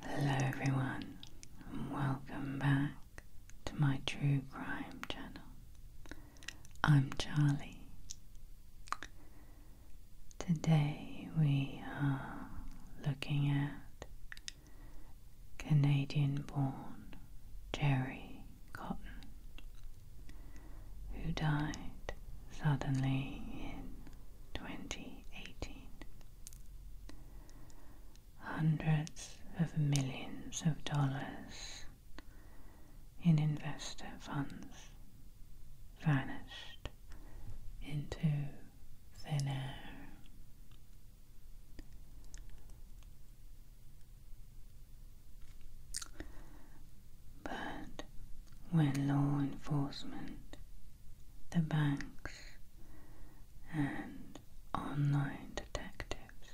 Hello, everyone, and welcome back to my true crime channel. I'm Charlie. Today we are looking at Canadian born Jerry Cotton, who died suddenly in 2018. Hundreds of millions of dollars in investor funds vanished into thin air. But when law enforcement, the banks, and online detectives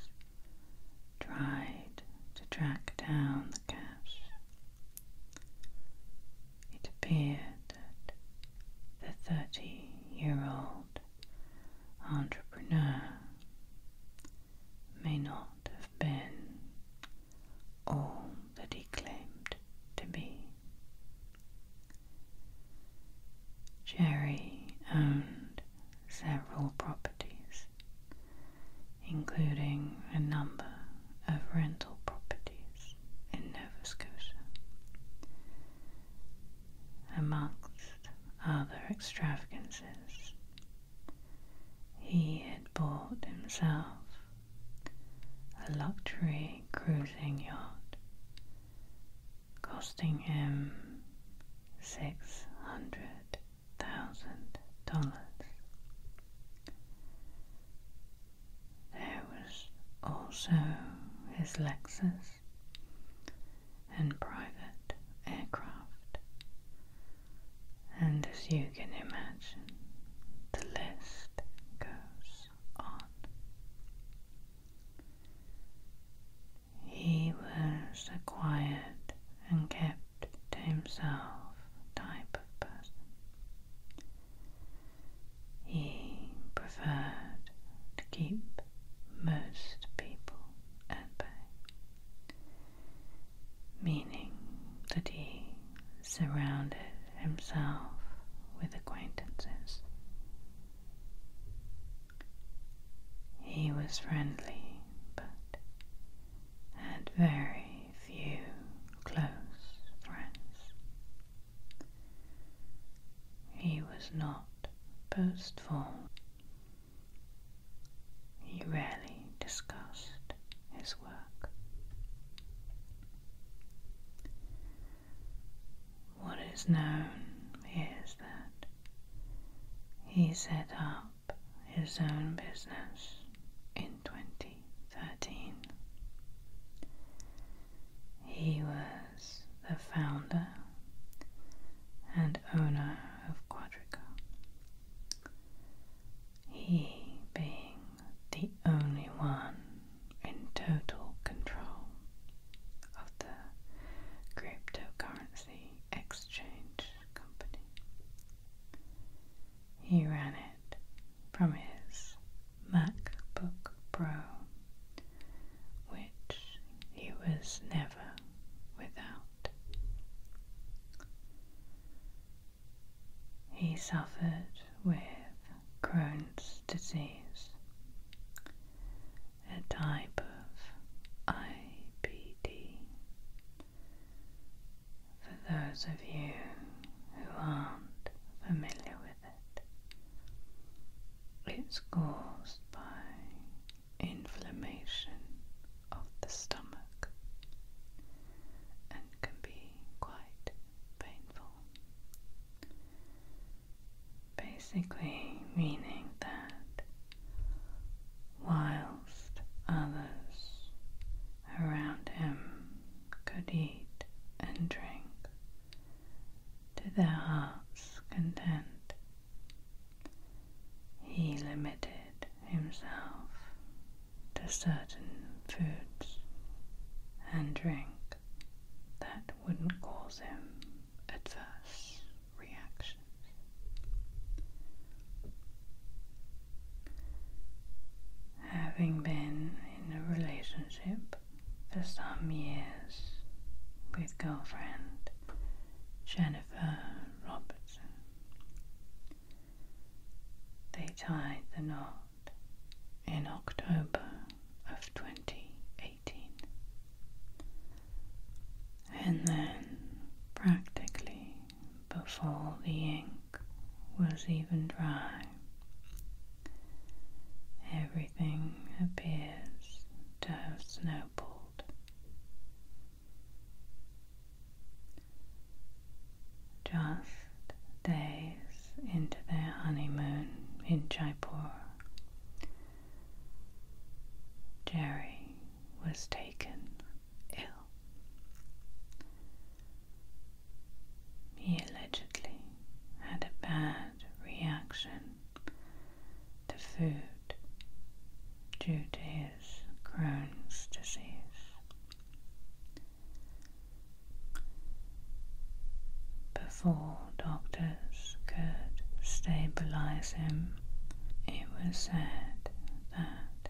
tried to track down the cash. It appeared that the 30 year old entrepreneur may not have been all that he claimed to be. Jerry owned several properties, including a number of rental properties in Nova Scotia. Amongst other extravagances, he had bought himself a luxury cruising yacht, costing him six hundred thousand dollars. There was also his Lexus and private aircraft, and as you can imagine, the list goes he was a quiet and kept to himself type of person. He preferred to keep most people at bay, meaning that he surrounded himself with acquaintances. He was friendly but had very few close friends. He was not boastful. He rarely discussed his work. What is known is that he set up his own business in 2013. He was the founder and owner of Quadrica. He being the only one in total control of the cryptocurrency exchange company. He ran it from his MacBook Pro, which he was never without. He suffered with Crohn's disease, a type of IBD. For those of you who aren't familiar with it, it's caused by inflammation of the stomach and can be quite painful. Basically, meaning that whilst others around him could eat and drink to their heart's content, he limited himself to certain foods and drinks that wouldn't cause him adverse reactions. Having been in a relationship for some years with girlfriend Jennifer Robertson, they tied the knot in October of 2018. And then, practically before the ink was even dry, everything appears to have snowballed. Just days into their honeymoon in Jaipur, Jerry was taken ill. He allegedly had a bad reaction to food due to his Crohn's disease. Before doctors could stabilize him, it was said that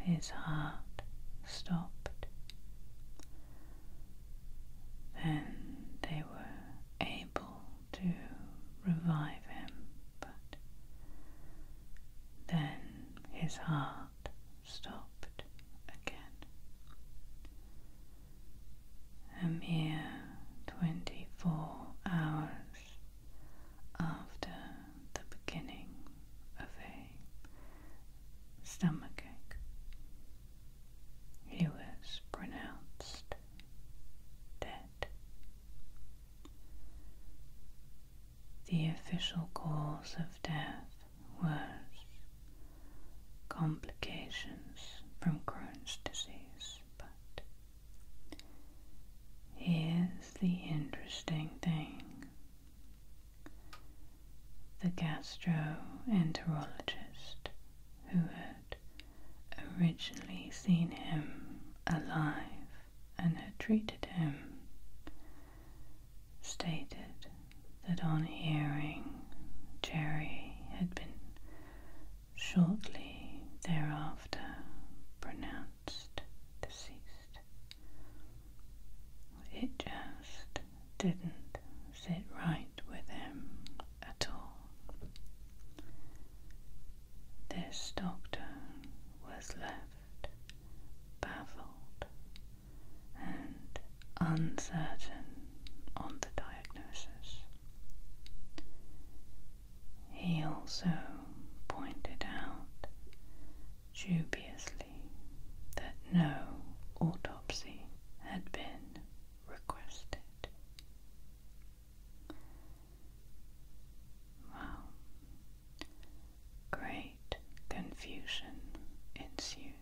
his heart stopped. Then they were able to revive him, but then his heart stopped again. A mere twenty four hours after the beginning of a stomachache, he was pronounced dead. The official cause of death worse complications from Crohn's disease. But here's the interesting thing the gastroenterologist who had originally seen him alive and had treated him stated that on hearing Jerry had been shortly thereafter pronounced deceased. It just didn't sit right with him at all. This doctor was left baffled and uncertain on the diagnosis. He also pointed out dubiously that no autopsy had been requested. Well, great confusion ensued.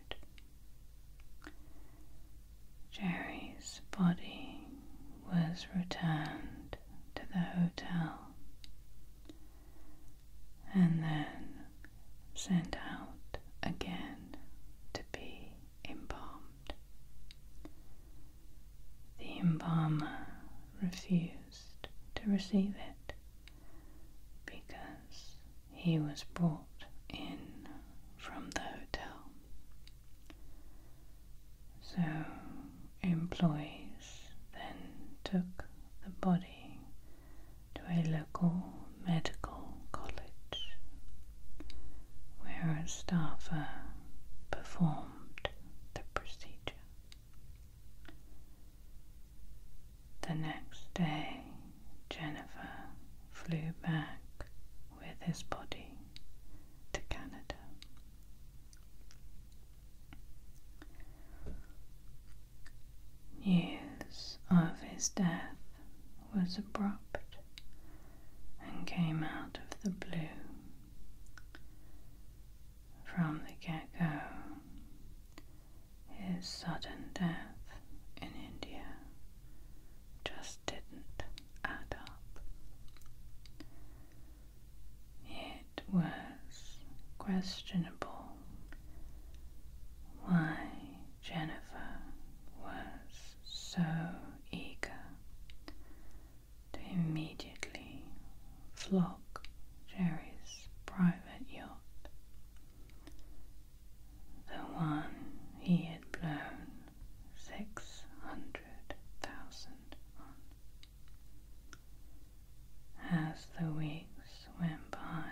Jerry's body was returned to the hotel and then sent out again to be embalmed. The embalmer refused to receive it because he was brought in from the hotel. So employees then took the body to a local medical college where a staffer performed the procedure. The next day, Jennifer flew back with his body to Canada. News of his death was abrupt and came out of the blue. From the get go, his sudden death in India just didn't add up. It was questionable why Jennifer was so eager to immediately flock Jerry's private yacht the one he had blown six hundred thousand on. As the weeks went by,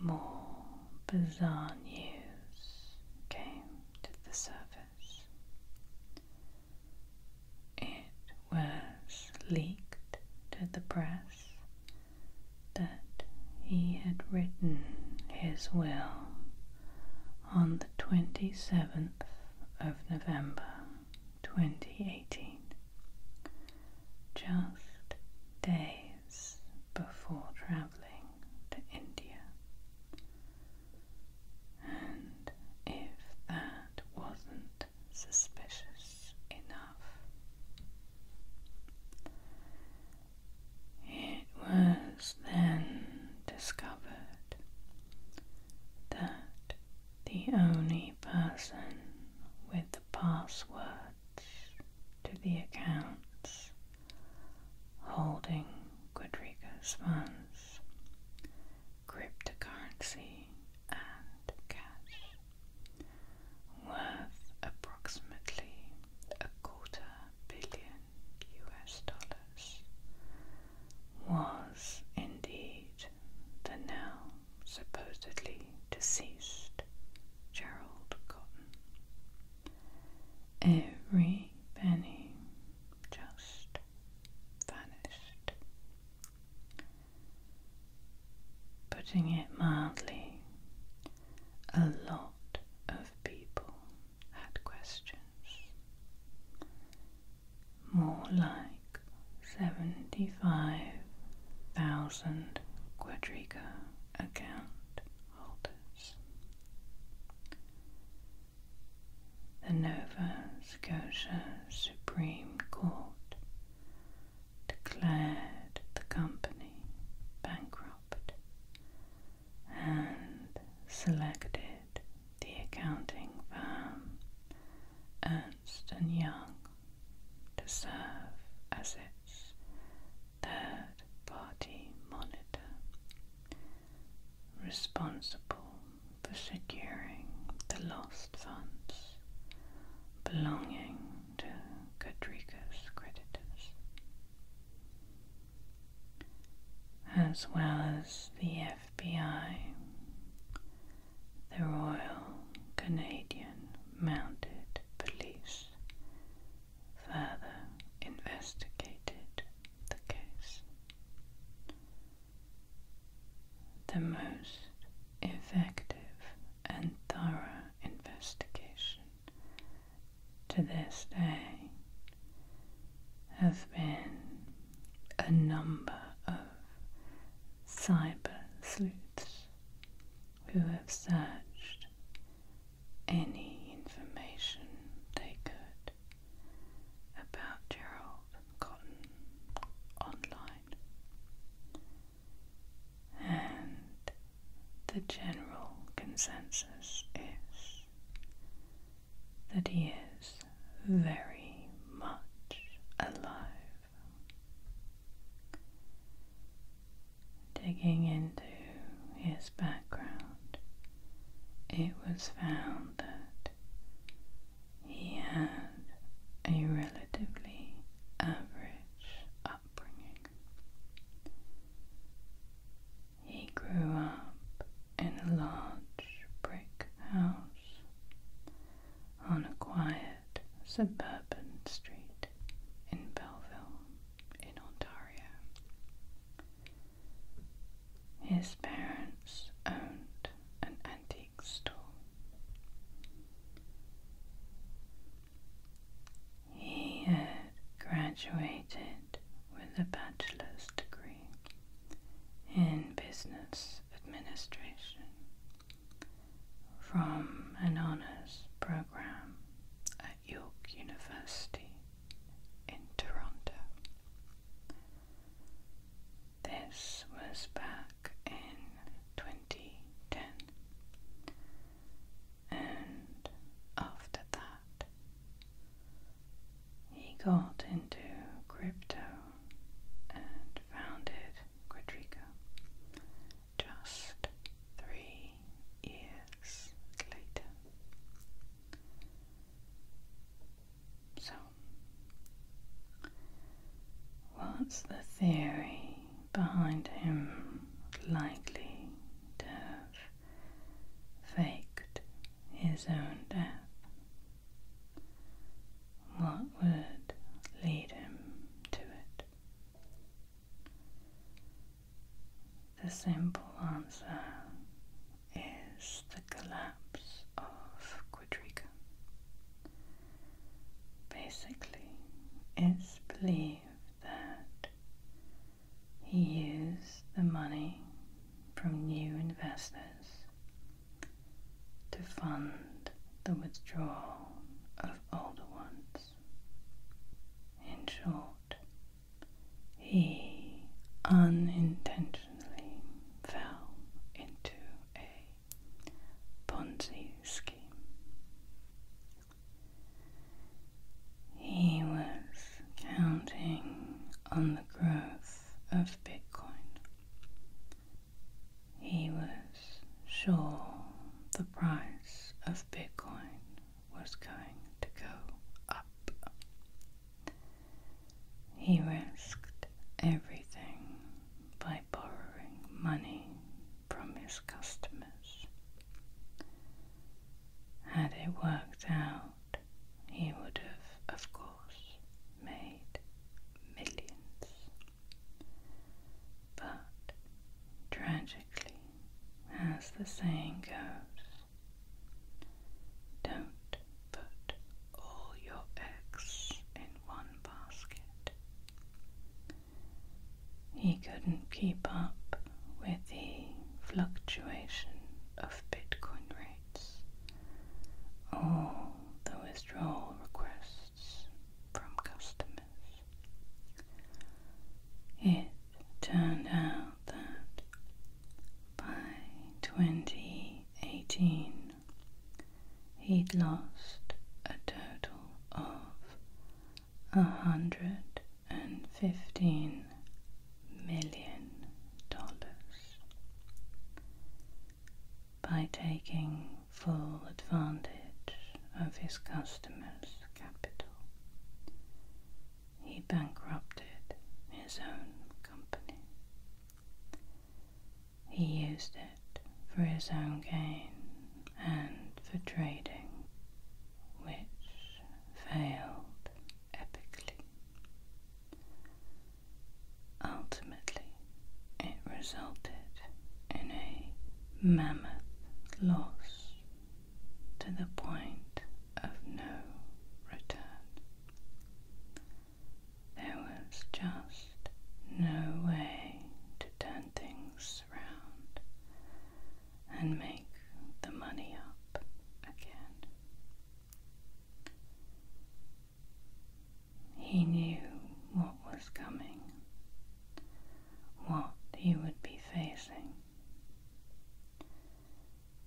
more bizarre news came to the surface. It was leaked to the press that he had written his will on the 27th of November 2018, just days before travelling to India. And if that wasn't suspicious enough, it was then discovered that the only person with the passwords to the accounts holding Quadriga's funds, cryptocurrency, and cash worth approximately a quarter billion US dollars, was indeed the now supposedly deceased Gerald Cotton. Every penny just vanished. Putting it mildly, a lot of people had questions. More like 75,000 Quadriga account holders. The Nova Scotia Supreme Court declared the company bankrupt and selected the accounting firm Ernst and Young to serve as its third party monitor, responsible for securing the lost funds belonging to Kodrika's as well as the FBI, the Royal Canadian Mounted Police, further investigated the case. The most effective and thorough investigation to this day have been a number of cyber sleuths who have searched any information they could about Gerald Cotton online. And the general consensus is that he is very much alive. Digging into his background, it was found that he had a relatively average upbringing. He grew up in a large brick house on a quiet suburban street in Belleville, in Ontario. His parents owned an antique store he had graduated with a bachelor's degree in business administration from an honours programme at York University in Toronto. This was back in 2010, and after that, he got into crypto and founded Quadriga just three years later. So, what's the theory behind him likely to have faked his own death? What would lead him to it? The simple answer is the collapse of Quadriga basically it's believed that he used the money from new investors to fund the withdrawal of older ones. In short, he unintentionally fell into a Ponzi scheme. He was counting on the growth of Bitcoin. He was sure the price of Bitcoin was going to go up. He risked everything by borrowing money from his customers. Had it worked out, he would have, of course, made millions. But tragically, as the saying goes, don't put all your eggs in one basket. He couldn't keep up with the fluctuation of Bitcoin rates. All the withdrawal requests from customers. It turned out that by 2018 he'd lost a total of a hundred and fifteen million dollars by taking full advantage of his customers' capital. He bankrupted his own company. He used it for his own gain and for trading, which failed epically. Ultimately, it resulted in a mammoth loss to the point of no return. There was just no way to turn things and make the money up again. He knew what was coming, what he would be facing.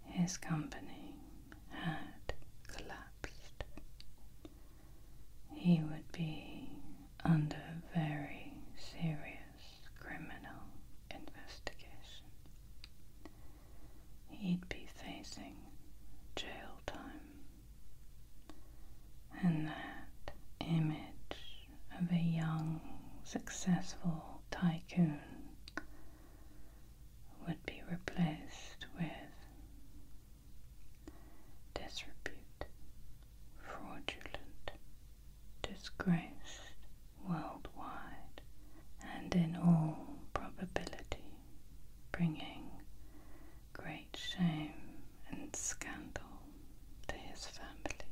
His company had collapsed. He would be under very serious criminal investigation. He'd be facing jail time. And that image of a young, successful tycoon would be replaced with disrepute fraudulent, disgraced worldwide, and in all probability bringing great shame and scandal to his family.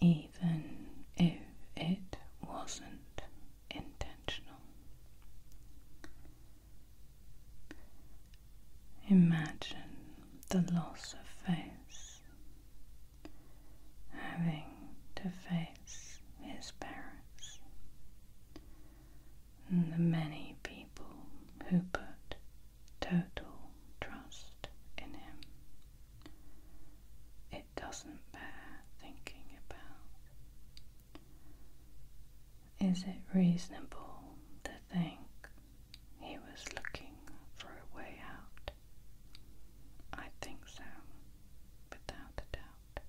Even if it wasn't intentional, Imagine the loss of face, having to face his parents and the many people who put total trust in him. It doesn't bear thinking about. Is it reasonable to think he was looking for a way out? I think so, without a doubt.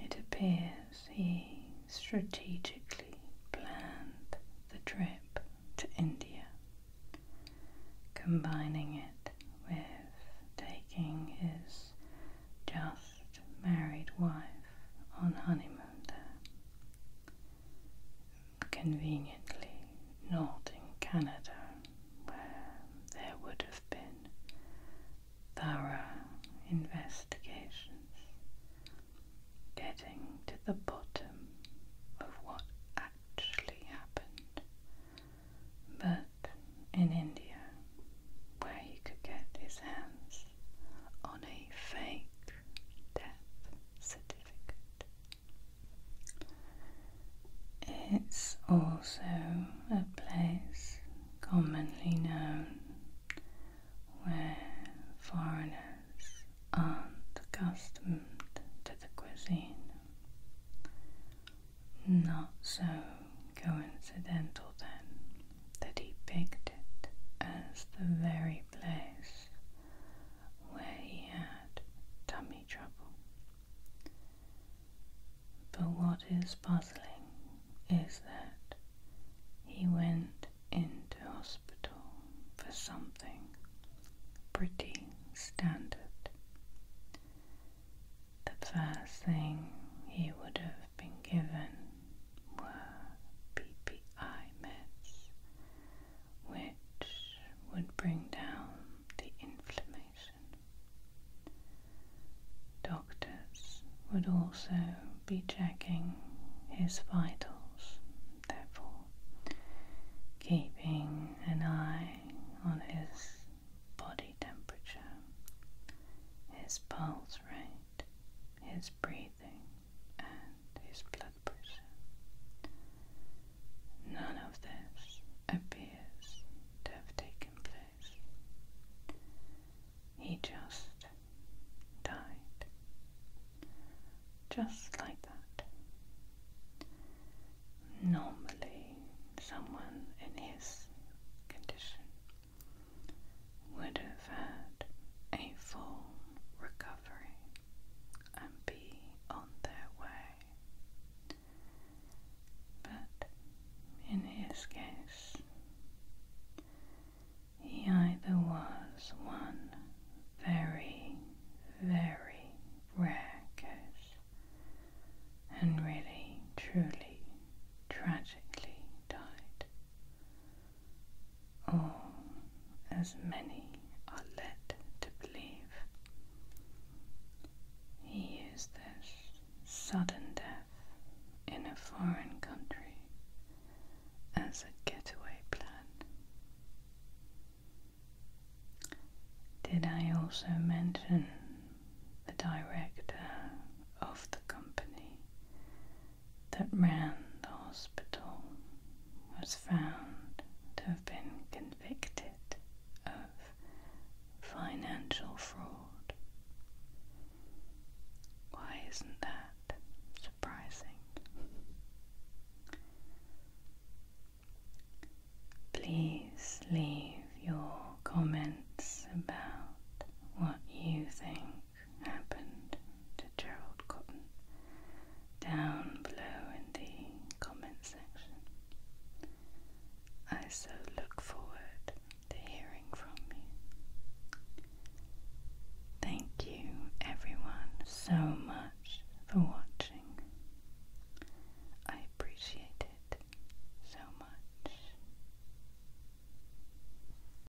It appears he strategically planned the trip to India, combining it with taking his just married wife on honeymoon there. Conveniently not in Canada, where there would have been thorough investigations, getting to the bottom of what actually happened. But in India, where he could get his hands on a fake death certificate. It's also a place commonly known where foreigners aren't accustomed to the cuisine. Not so coincidental then that he picked it as the very place where he had tummy trouble. But what is puzzling is that he went into hospital for something pretty standard. The first thing he would have been given were PPI meds, which would bring down the inflammation. Doctors would also be checking his vitals, therefore, keeping an eye on his body temperature, his pulse rate his breathing and his blood pressure. None of this appears to have taken place. He just died. Just like that. Normally, someone in his condition would have had a full recovery and be on their way. But in his case, he either was one very, very rare case and really, truly, tragically died, or oh, as many are led to believe. He is this sudden death in a foreign country as a getaway plan. Did I also mention the director of the company that ran the hospital was found to have been convicted of financial fraud. Why isn't that surprising? Please leave your comments about what you think happened to Gerald Cotton down below in the comment section. I so look forward to hearing from you. Thank you, everyone, so much for watching. I appreciate it so much.